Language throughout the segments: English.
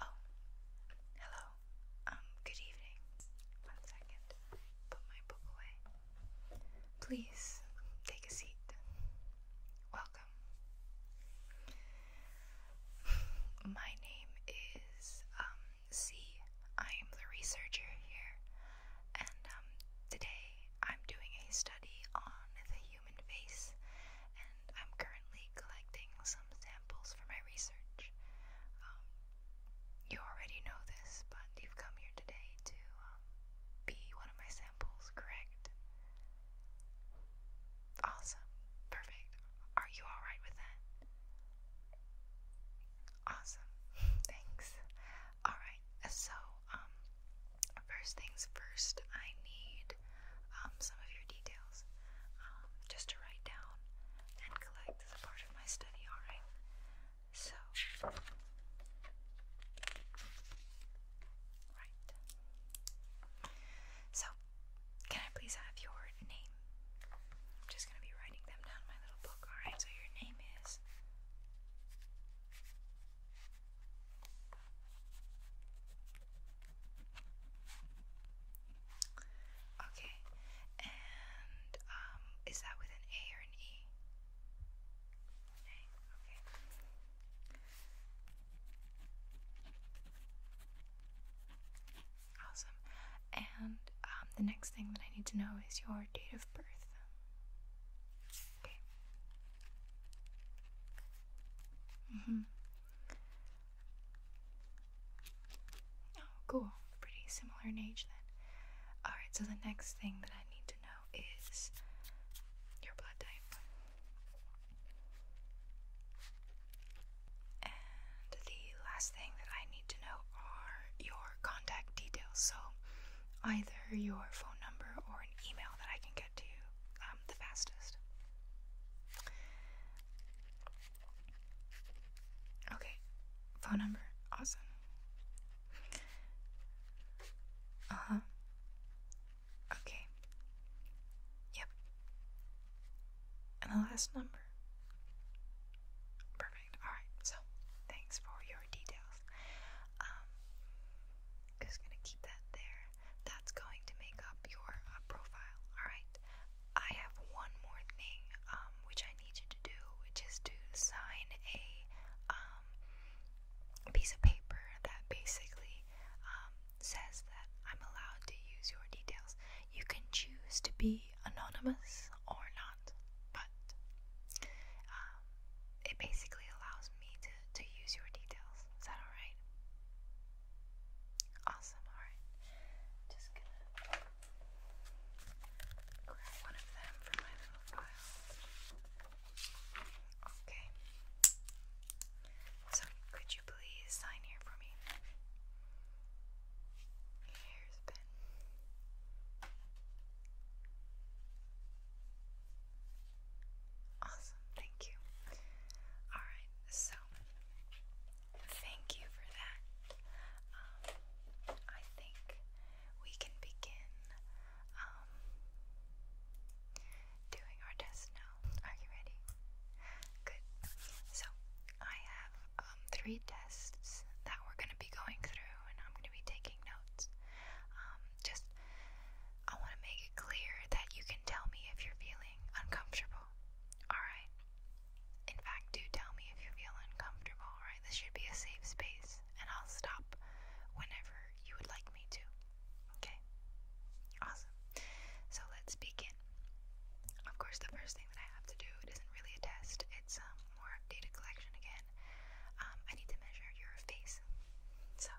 Oh, hello. Um, good evening. One second. Put my book away. Please take a seat. Welcome. My name is um, C. I am the researcher here and um, today I'm doing a study on the human face, and I'm currently collecting some samples for my research. Um, you already know this, but you've come here today to um, be one of my samples, correct? Awesome. Perfect. Are you alright with that? Awesome. Thanks. Alright, so, um, first things first, I need um, some of your details um, just to write down and collect as part of my study, alright? So, right. So, can I please have your name? I'm just going to be writing them down in my little book, alright? So, your name is Okay, and um, is that with an A or an E? okay. Awesome. And um, the next thing that I need to know is your date of birth. Okay. Mm hmm. Oh, cool. Pretty similar in age then. Alright, so the next thing that I need to know is your blood type. And the last thing that I need to know are your contact details. So either your phone number or an email that I can get to you um, the fastest. Okay, phone number. Awesome. Uh huh. Okay. Yep. And the last number. Perfect. Alright, so thanks for your details. Um, just gonna keep that there. That's going to make up your uh, profile. Alright, I have one more thing, um, which I need you to do, which is to sign a, um, piece of paper that basically, says that I'm allowed to use your details. You can choose to be anonymous or not, but um, it basically allows me to, to use your details. Is that alright? Awesome, alright. Just gonna grab one of them for my little file. Okay. So, could you please sign here for me? hairspin. Awesome, thank you. Alright, so thank you for that. Um, um, I think we can begin um, doing our test now. Are you ready? Good. So, I have um, three tests that we're going to be going through, and I'm going to be taking notes. Um, just, I want to make it clear that you can tell me if you're feeling uncomfortable. Alright? In fact, do tell me if you feel uncomfortable, alright? This should be a safe space, and I'll stop whenever you would like me to. Okay? Awesome. So let's begin. Of course, the first thing I have to do. It isn't really a test. It's um, more data collection again. Um, I need to measure your face. So.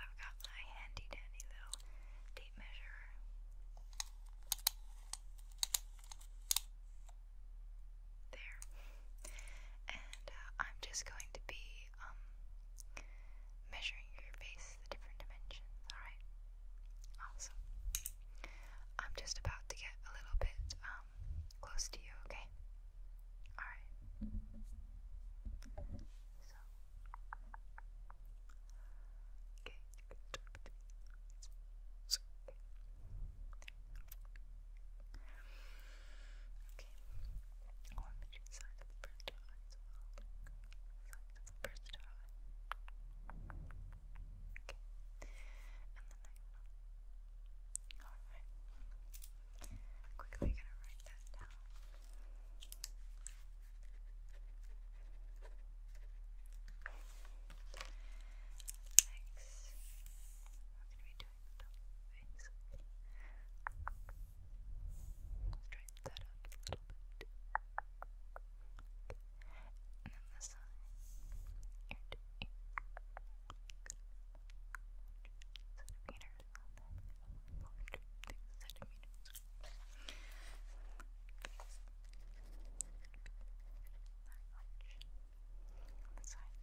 I've got my handy dandy little tape measure. There. And uh, I'm just going to be um, measuring your face the different dimensions, alright? Awesome. I'm just about to get a little bit um, close to you, okay? Alright. So Okay, okay as well. Okay. And the next one. Quickly gonna write that down. Next, we're gonna be doing the double Let's try that up a little bit. And then this side, ear to ear. Centimeters on that, the side.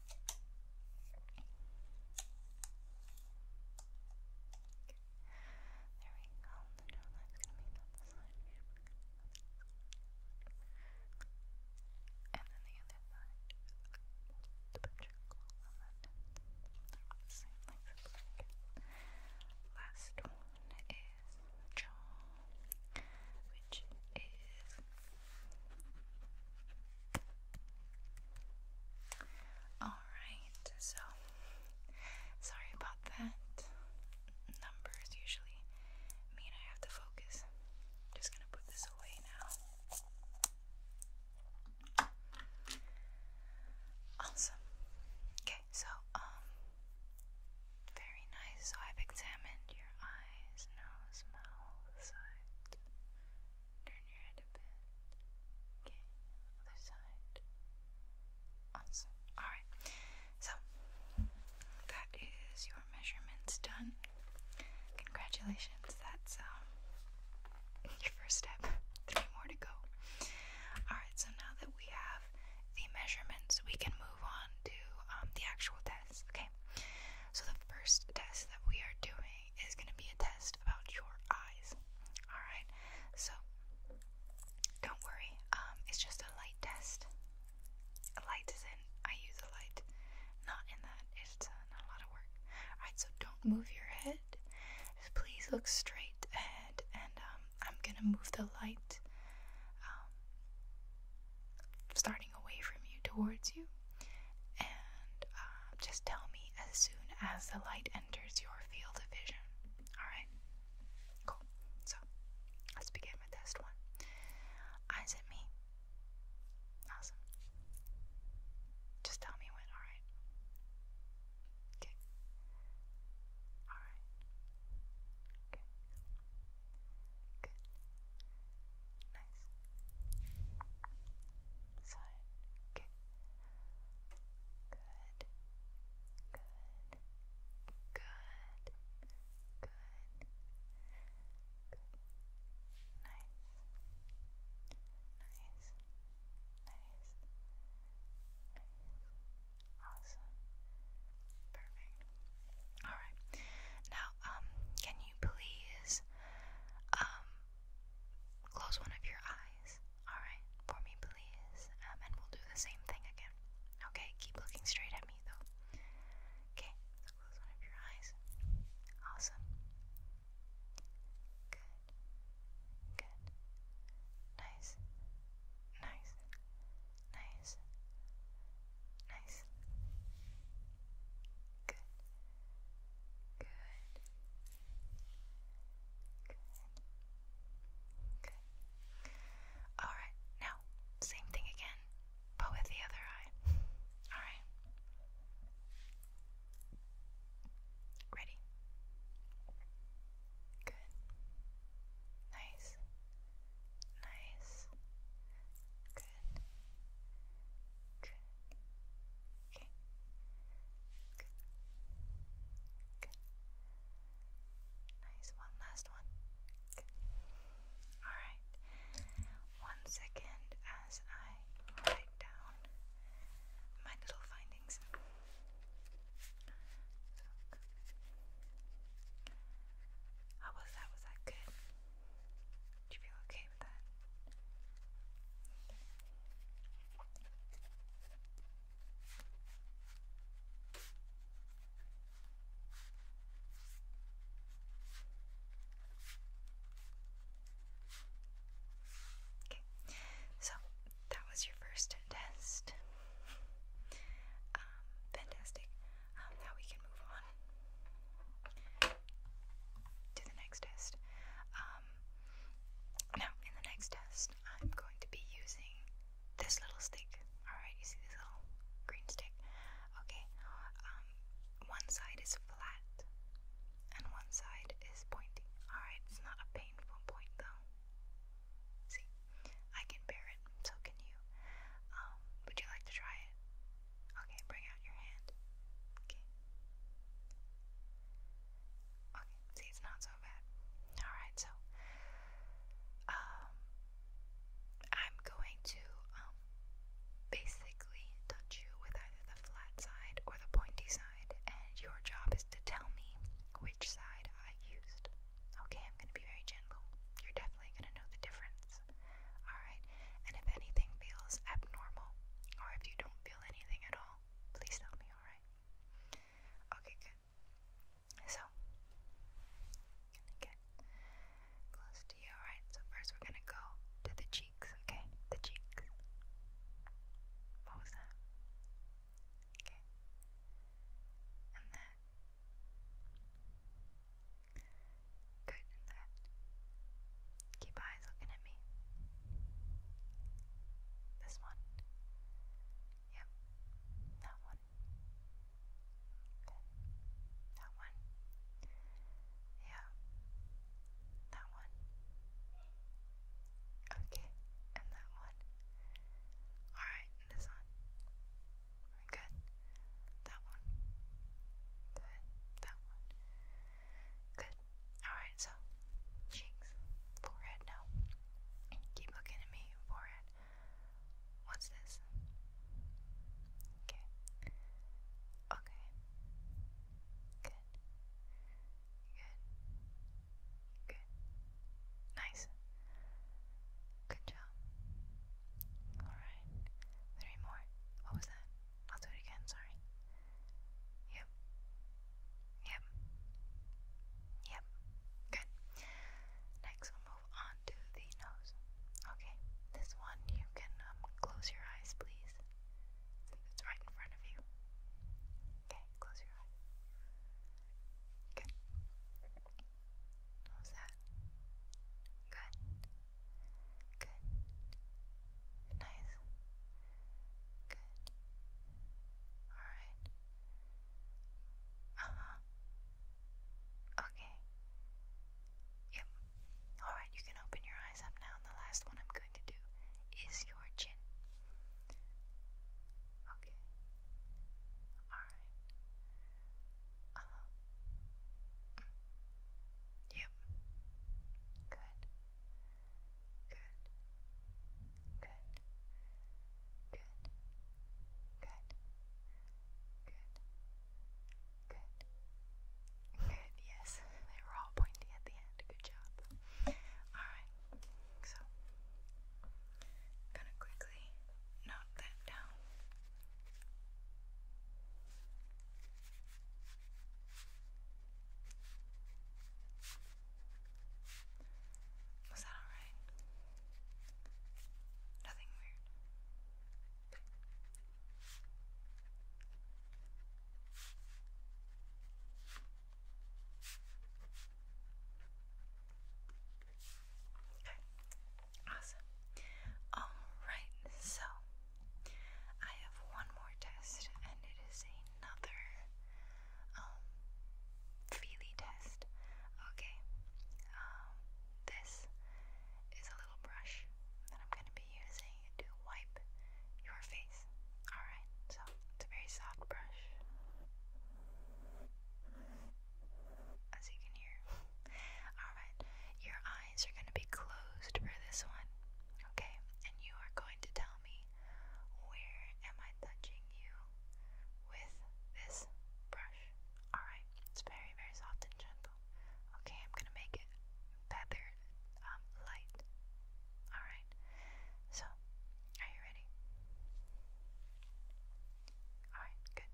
There we go. No, that's gonna be on side. And then the other side. The picture on that. Same length. Last one is jaw which is alright, so sorry about that. Numbers usually mean I have to focus. just gonna put this away now. Awesome. Okay, so um, very nice. So I've examined your eyes, nose, mouth, side. Turn your head a bit. Okay, other side. Awesome. Alright. So that is your measurements done. Congratulations. That's um, your first step. Three more to go. Alright, so now that we have the measurements, we can move on to um, the actual test okay? So, the first test that we are doing is going to be a test about your eyes, alright? So, don't worry, um, it's just a light test. A light is in, I use a light, not in that, it's uh, not a lot of work. Alright, so don't move your head, please look straight ahead, and um, I'm going to move the light. Um, starting away from you towards you. And um, just tell me as soon as the light enters your field of vision. Alright? Cool. So, let's begin with test one. Eyes at me. Awesome. Just tell me when, alright? Okay. Alright. Okay. Good. Nice. Side. Okay. Good. Good. Good. Good. Good. Nice. Nice. Nice. Nice. Nice. Awesome. Perfect. Alright. Now, um, can you please um close one of your eyes? Alright, for me please. Um, and we'll do the same thing again. Okay, keep looking straight at me though. Okay, so close one of your eyes. Awesome. Good. Good. Nice. Nice. Nice. Nice. Good. Good. Good. Good. Alright, now, same thing again, but with the other eye. Alright. Ready? Good. Nice. Nice. Good. Good. Okay. Good. Good. Nice. One last one. Alright. One second as I write down my little findings. Look. How was that? Was that good? Did you feel okay with that? Okay, so that was your first test. Um, fantastic. Um, now we can move on to the next test. Um, now, in the next test, I'm going to be using this little stick. Alright, you see this little green stick? Okay, one side is flat and one side is pointing. Alright, it's not a painful point though. See, I can bear it, so can you. Um, would you like to try it? Okay, bring out your hand. Okay. Okay, see, it's not so bad. Alright, so, um, I'm going to, um, basically touch you with either the flat side or the pointy side, and your job is to tell me which side I used. Okay, I'm gonna be very gentle. You're definitely gonna know the difference. Alright, and if anything feels abnormal, or if you don't feel anything at all, please tell me, alright? Okay, good. So, gonna get close to you, alright? So, first we're gonna go to the cheeks, okay? The cheeks. What was that? Okay. And that. Good and that. Keep eyes looking at me. This one. Yep. That one. That one. Yeah. That one. Okay. And that one. Alright, in the Good. That one. Good. That one. Good. Alright, so cheeks. Forehead now. Keep looking at me, forehead. What's this? Okay. Okay. Good. Good. Good. Nice. Good job. Alright. Three more. What was that? I'll do it again, sorry. Yep. Yep. Yep. Good. Next, we'll move on to the nose. Okay. This one, you can um, close your eyes, please. it's right in front of you. Okay, close your eyes. Good. What that? Good. Good. Nice. Good. Alright. Uh-huh. Okay. Yep. Alright, you can open your eyes up now, the last one I'm going to do is your chin. Okay. Alright. Yep. Good. Good. Good. Good. Good. Good. Good. Good, yes. They were all pointy at the end. Good job. Alright. So, gonna quickly note that down. Was that alright? Nothing weird. Okay, awesome. Alright, so I have one more test, and it is another um, feely test. Okay, um, this is a little brush that I'm going to be using to wipe your face. Alright, so it's a very soft brush. As you can hear. Alright, your eyes are going to be closed for this one. Okay, and you are going to tell me where am I touching you with this brush. Alright, it's very, very soft and gentle. Okay, I'm going to make it feather um, light. Alright. So, are you ready? Alright, good.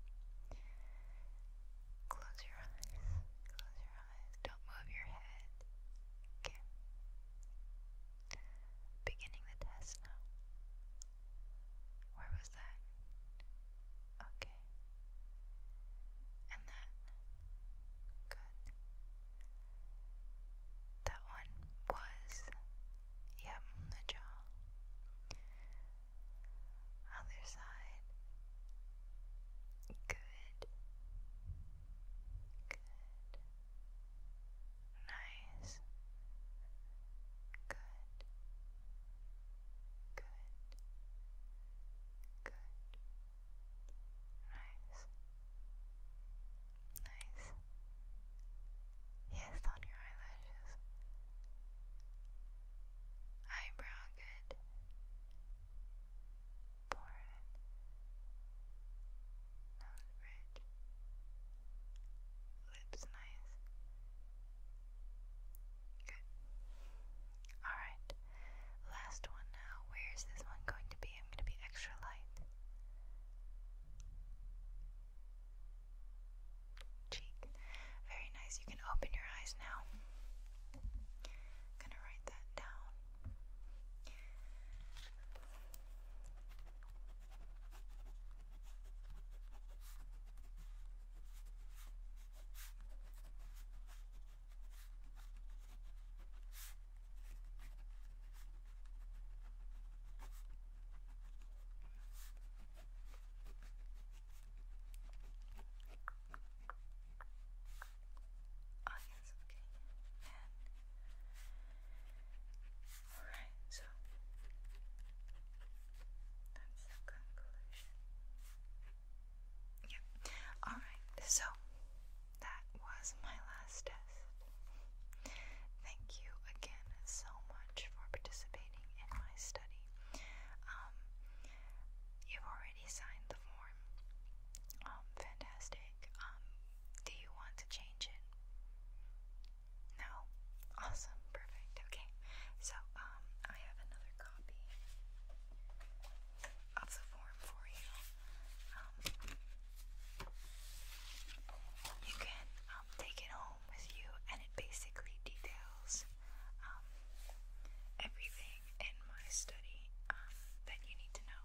Close your eyes. Close your eyes. Don't move your head. Okay. Beginning the test now. Where was that? Okay. And that. Good. That one was, yep, the jaw. Other side. Good. Good. Nice. Good. Good. Good. Nice. Nice. Yes, on your eyelashes. Eyebrow good. Forehead. Nose bridge. Lips nice. Good. Alright. Last one now. Where is this one going to be? I'm going to be extra light cheek. Very nice. You can open your eyes now. gonna write that down. Oh yes, okay. And alright, so that's the conclusion. Yeah. Alright, so that was my last test. Thank you again so much for participating in my study. Um, you've already signed the form. Um, fantastic. Um, do you want to change it? No? Awesome. Perfect. Okay. So, I have another copy of the form for you. Um, you can um, take it home with you, and it basically details um, everything in my study that you need to know.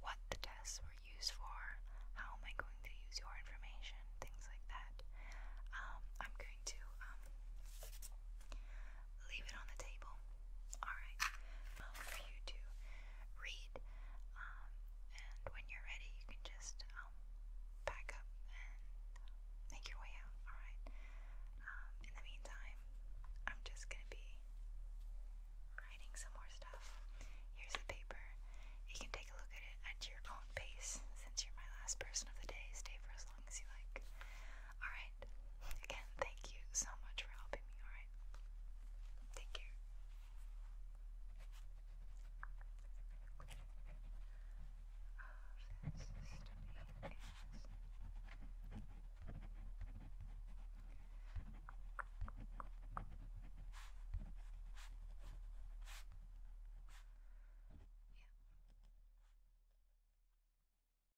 what the tests were used for, how am I going to use your information, things like that. I'm going to leave it on the table. Alright. for you to read. Um, and when you're ready, you can just um, pack up and make your way out. Alright. Um, in the meantime, I'm just gonna be writing some more stuff. Here's the paper. You can take a look at it at your own pace since you're my last person of the day. Stay for as long as you like. Alright. Again, thank you so much for helping me, alright? Take care. yeah.